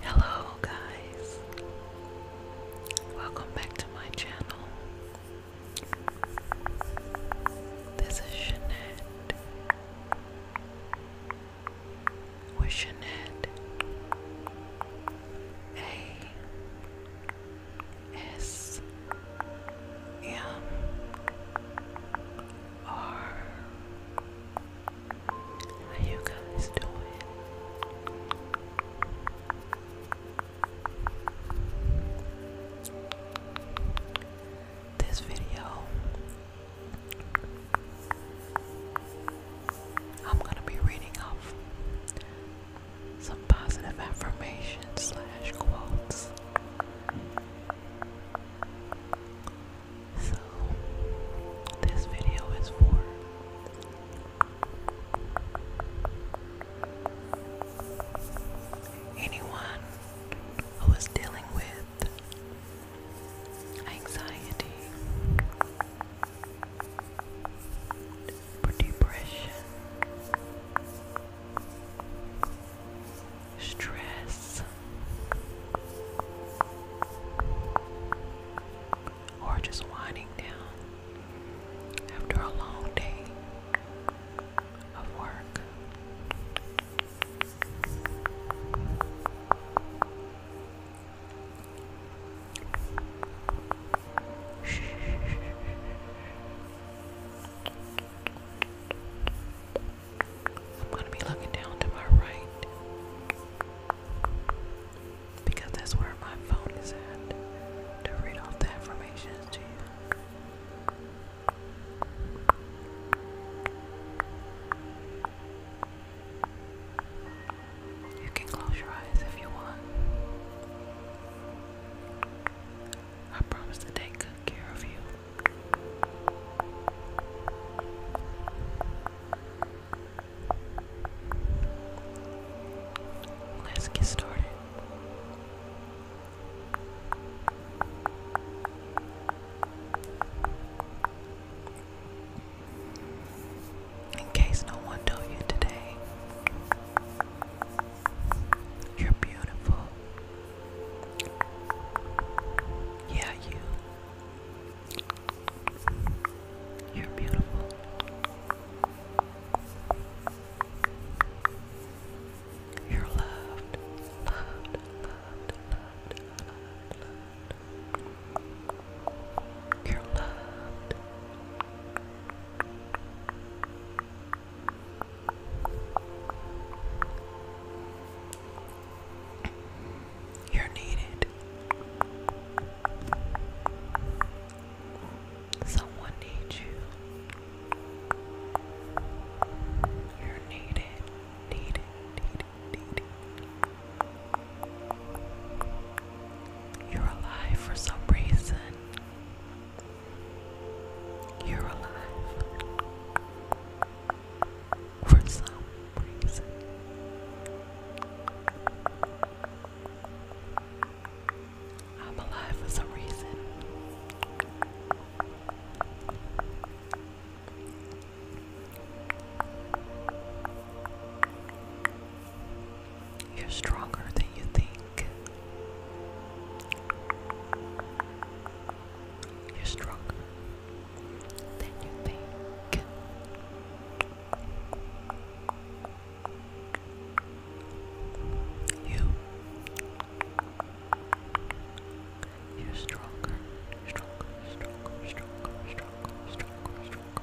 Hello, guys. Welcome back to my channel. This is Jeanette. With Jeanette. A. S. M are you guys doing? This video I'm gonna be reading off some positive affirmations slash quotes so, this video is for anyone who is dealing with anxiety or depression stress, or just winding down after a long day of work. I'm going to be looking down to my right because that's where my phone is at to read off the information to you. You can close your eyes if you want. I promise to take good care of you. Let's get started. In case no one told you today, you're beautiful. Yeah, you. You're beautiful. You're loved, loved, loved, loved, loved, loved. You're needed. Someone needs you. You're needed, needed, needed, needed. You're alive for some reason. You're alive for some reason. I'm alive for some reason. You're stronger than you think. You're stronger than you think. You. You're stronger, stronger, stronger, stronger, stronger, stronger, stronger.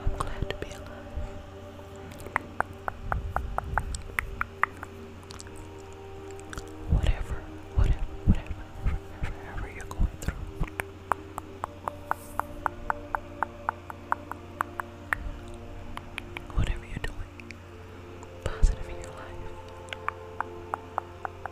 I'm glad to be alive. Whatever, whatever, whatever, whatever, whatever you're going through. Whatever you're doing, positive in your life.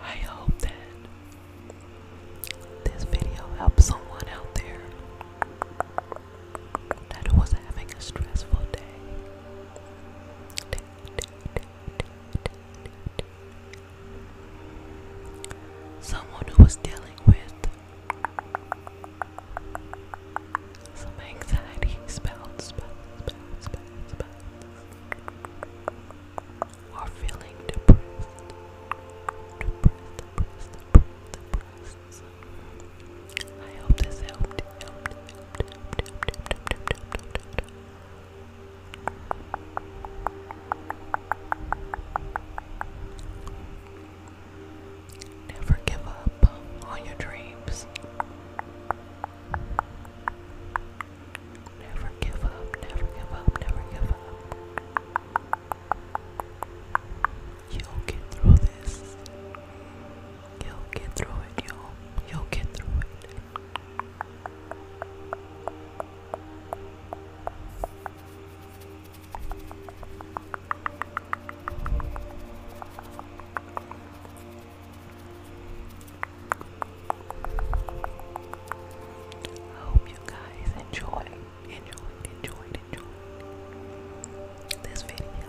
I hope that this video helps someone out there that was having a stressful day. Someone who was dealing with some anxiety spells, spells, spells, spells, spells, or feeling depressed, depressed. I hope this helped. Never give up on your dreams. Never give up, never give up, never give up. You'll get through this. You'll get through it, you will you'll get through it. I hope you guys enjoy enjoyed, enjoyed, enjoyed this video.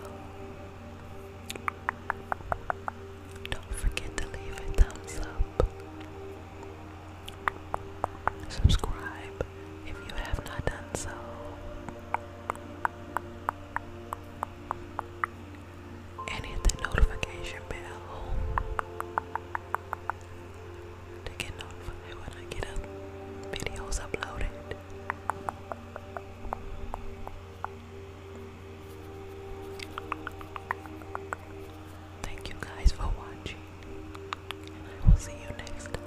Don't forget to leave a thumbs up. Subscribe if you have not done so. And hit the notification bell to get notified when I get up videos uploaded. Thank you guys for watching. I will see you next time.